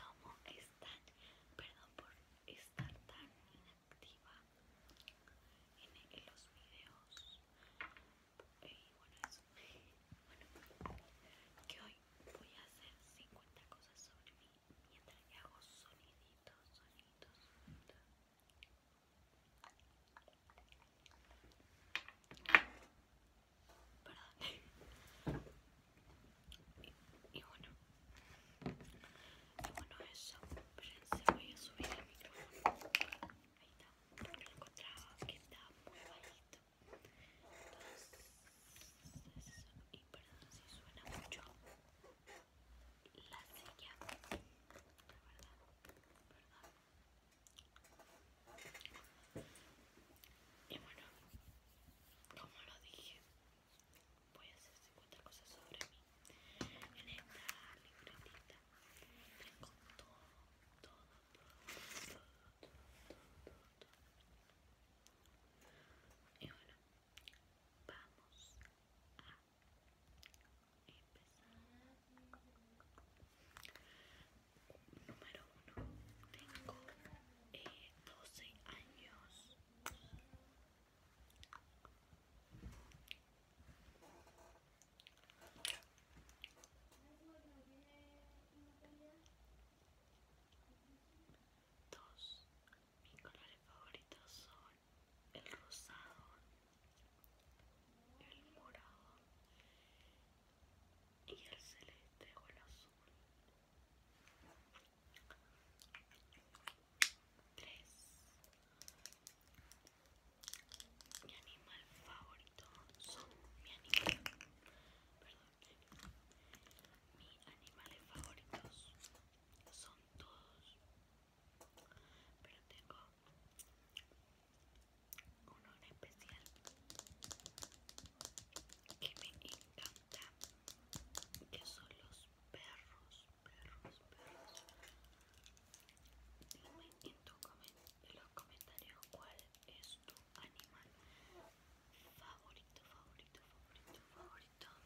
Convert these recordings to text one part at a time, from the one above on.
¿cómo están? Perdón por estar tan inactiva en, los videos. Y bueno, Bueno, que hoy voy a hacer 50 cosas sobre mí mientras hago soniditos, soniditos, soniditos. Perdón. Y, bueno. Y bueno eso. Espérense, voy a subir el micrófono. Ahí está. Porque lo encontraba que estaba muy bajito. Entonces, y perdón si suena mucho. La silla. La verdad. Perdón. Y bueno, como lo dije voy a hacer 50 cosas sobre mí en esta libretita tengo todo todo todo todo todo todo y bueno vamos a empezar Número uno, tengo eh, doce 12 años. Dos, mis colores favoritos son el rosado, el morado y el celeste o el azul. 3 mi animal favorito son mi animal perdón mis animales favoritos son todos pero tengo uno en especial que me encanta que son los perros perros perros dime en, en los comentarios cuál es tu animal favorito favorito favorito favorito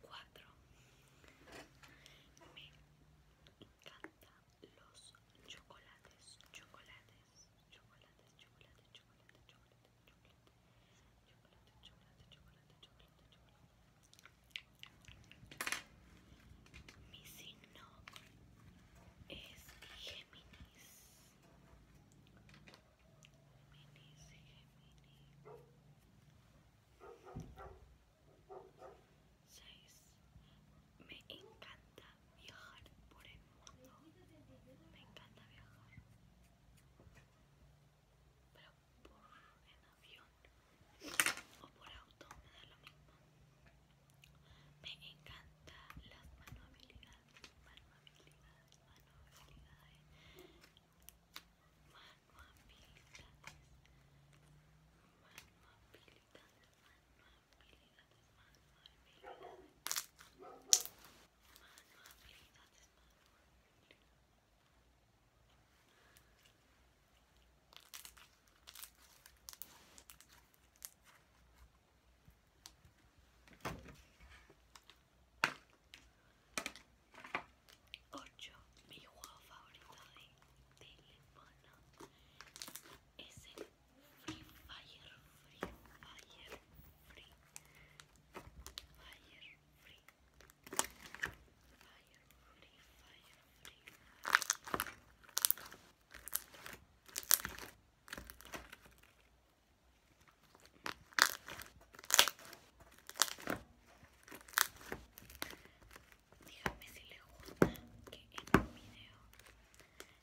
Cuatro. Me encantan los chocolates, chocolates, chocolates, chocolates, chocolates, chocolates chocolate. Mi signo es Géminis. Géminis, Géminis. Me encanta viajar por el mundo. Me encanta viajar. Pero por en avión o por auto me da lo mismo. Me encanta las manualidades, Manuabilidades manualidades, manualidades, manualidades, 8. Mi juego favorito de teléfono es el Free Fire, Free Fire, Free Fire, Free Fire, Free Fire, Free Fire. Díganme si le gusta que en un video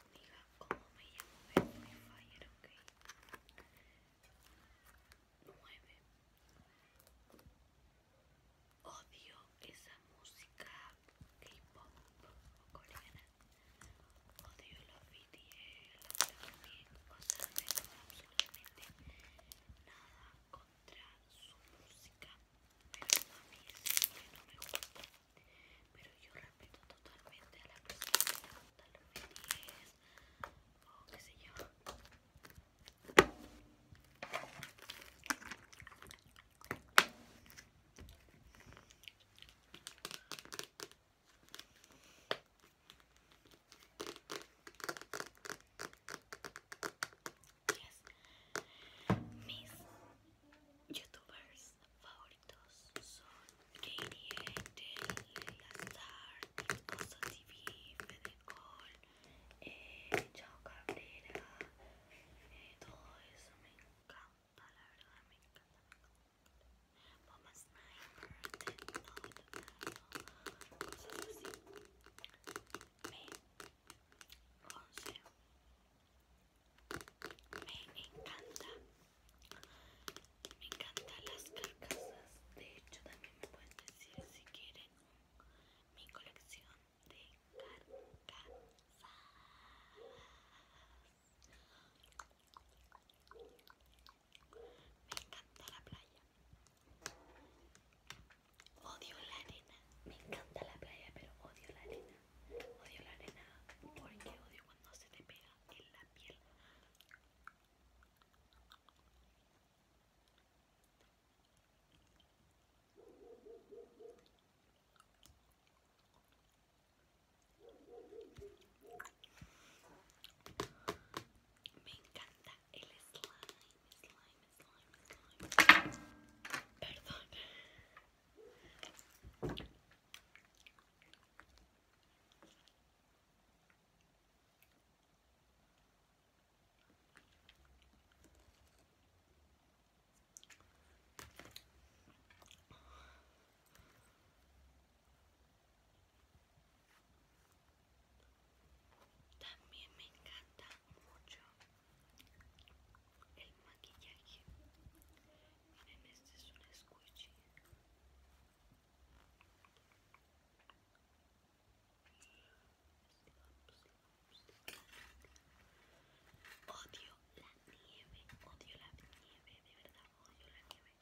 diga cómo me llamo en Fire, ok. 9. Odio esa música K-pop o coreana. Odio los Videos los O sea, no tengo absolutamente nada contra su música. Pero a mí que no me gusta pero yo respeto totalmente a la personas que les es... o qué sé yo Yes. Mis youtubers favoritos son Katie Angel, Leila Star, Cosa TV, Fedecol, eh, Cabrera, eh, todo eso me encanta, la verdad me encanta. Sniper, Me me encanta me encantan las carcasas de hecho también me pueden decir si quieren mi colección de carcasas me encanta la playa odio la arena me encanta la playa pero odio la arena odio la arena porque odio cuando se te pega de la piel me encanta el slime, slime, slime. Perdón. También me encanta mucho el maquillaje Miren, este es un squishy. Odio la nieve, odio la nieve, de verdad odio la nieve.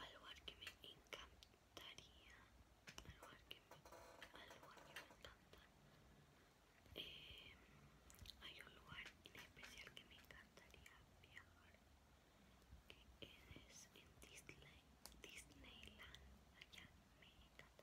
Al lugar que me encantaría, al lugar que me, al lugar que me encanta, eh, hay un lugar en especial que me encantaría viajar, que es en Disneyland, allá me encantaría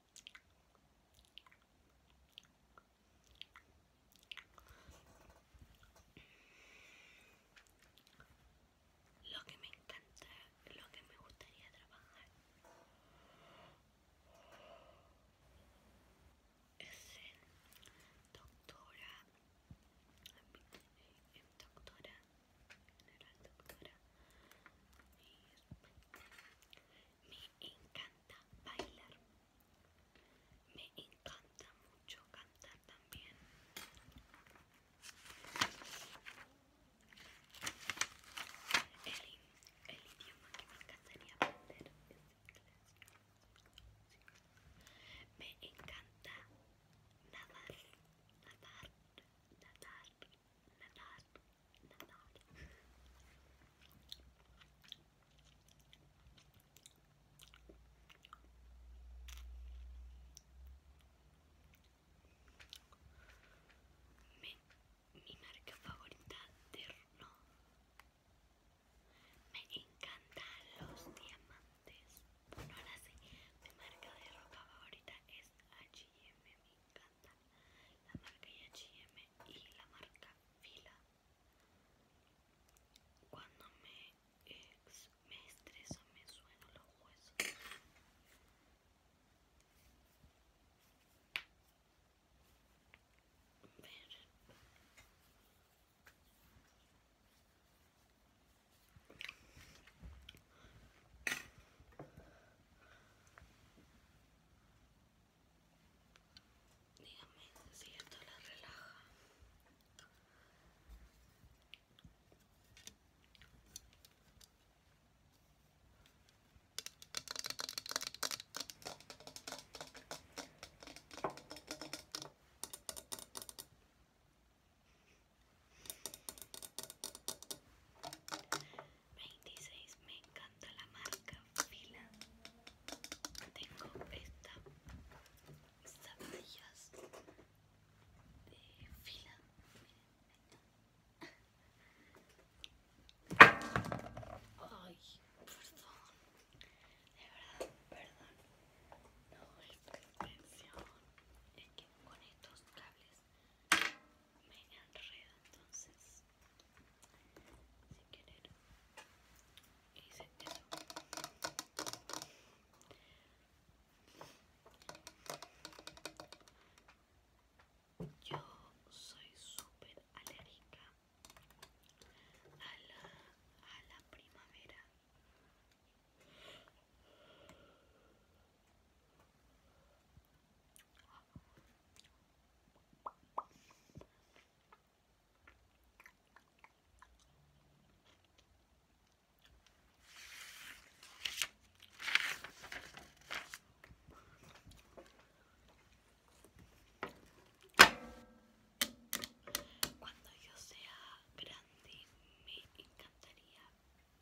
Lo que me encanta, lo que me gustaría trabajar es ser doctora, doctora me encanta bailar me encanta mucho cantar también el, idioma que me encantaría aprender es inglés me encanta nadar nadar nadar mi, marca favorita de Ron Me encantan los diamantes. Bueno, ahora sí, mi marca de roca favorita es H&M, la marca IHM y la marca Fila. Cuando me, ex, me estreso me sueno los huesos. Dígame si esto la relaja. 26 me encanta la marca fila tengo esta zapatillas de fila ay perdón de verdad perdón no es pretensión es que con estos cables me enredo entonces sin querer yo soy súper alérgica a a la primavera cuando yo sea grande me encantaría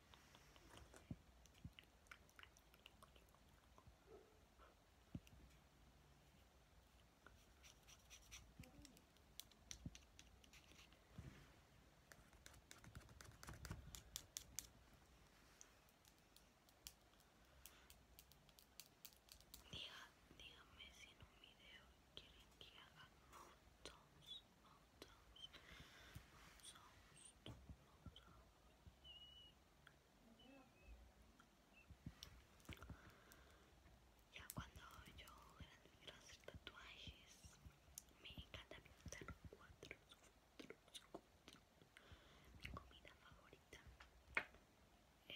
Diga, dígame si en un video quieren que haga mountains ya cuando yo era de hacer tatuajes, me encanta pintar cuatro, cuatro, cuatro. Mi comida favorita es el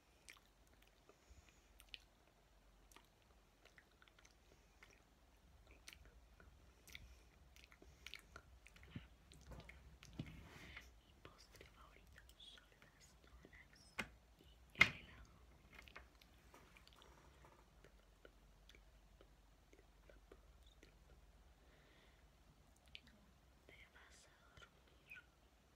Mi postre favorito son las donas y el helado. Te vas a dormir.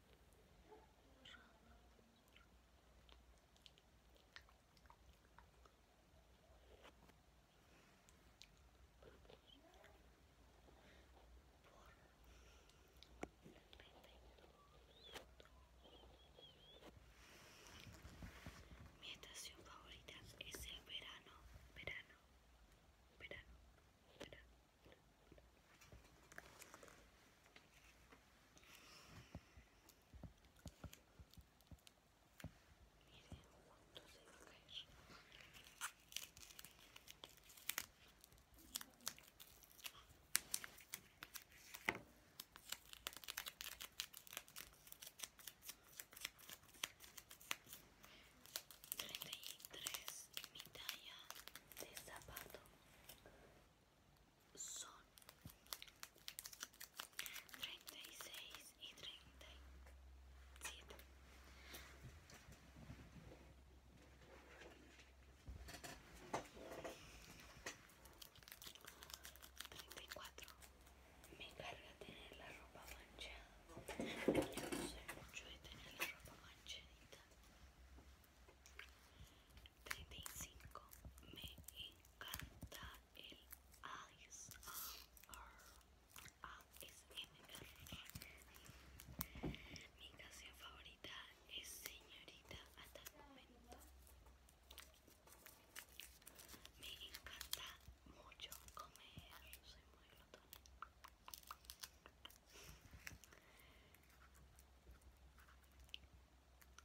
Mi estación favorita es el verano, verano, verano, verano cálmala miren cuánto se va caer 33 mi de zapato son 36 y 37 34 me carga tener la ropa manchada yo no sé mucho de tener la ropa manchadita 35 me encanta el R. mi canción favorita es señorita hasta el momento me encanta mucho comer soy muy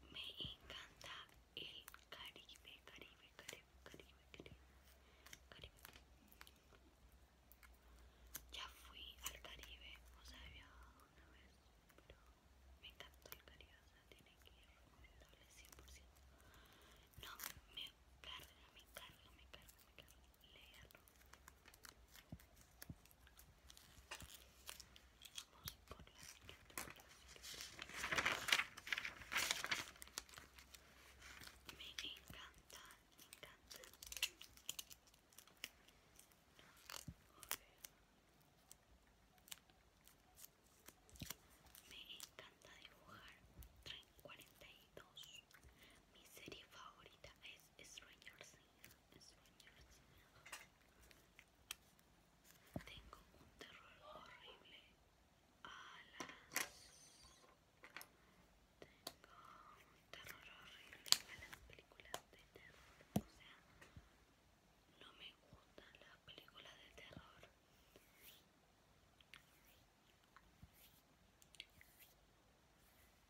me encanta el Caribe, Caribe, Caribe, Caribe, Caribe, Caribe. Ya fui al Caribe, o sea, había una vez, pero me encanta el Caribe, o sea, tiene que ir 100%. No, me carga, me carga, me carga, me carga la Me encanta, me encanta. Me encanta dibujar. Train 42. Mi serie favorita es Stranger Things. Tengo un terror horrible a las... terror las películas de terror. O sea, no me gustan las películas de terror.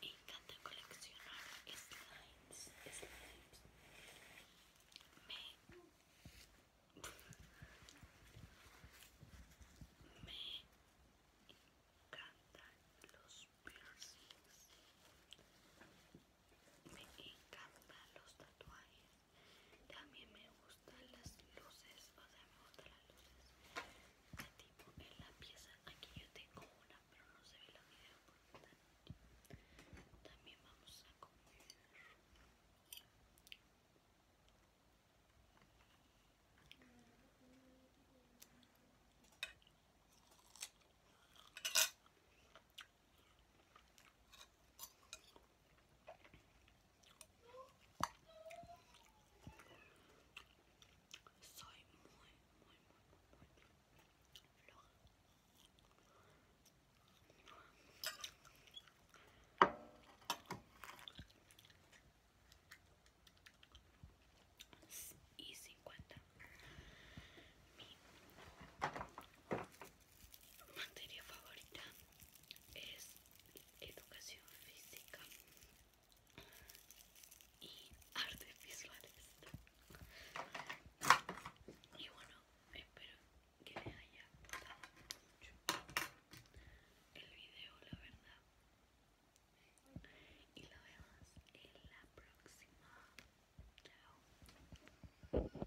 Me encanta coleccionar slimes, Me, encanta los piercings. Me encanta los tatuajes. También me gustan las luces, o sea, me gustan las luces de tipo en la pieza. Aquí yo tengo una, pero no se ve la video porque está También vamos a comer. Soy muy, muy, muy, Y 50 materia favorita es educación física y artes visuales y bueno espero que les haya gustado mucho el video la verdad y lo vemos en la próxima chao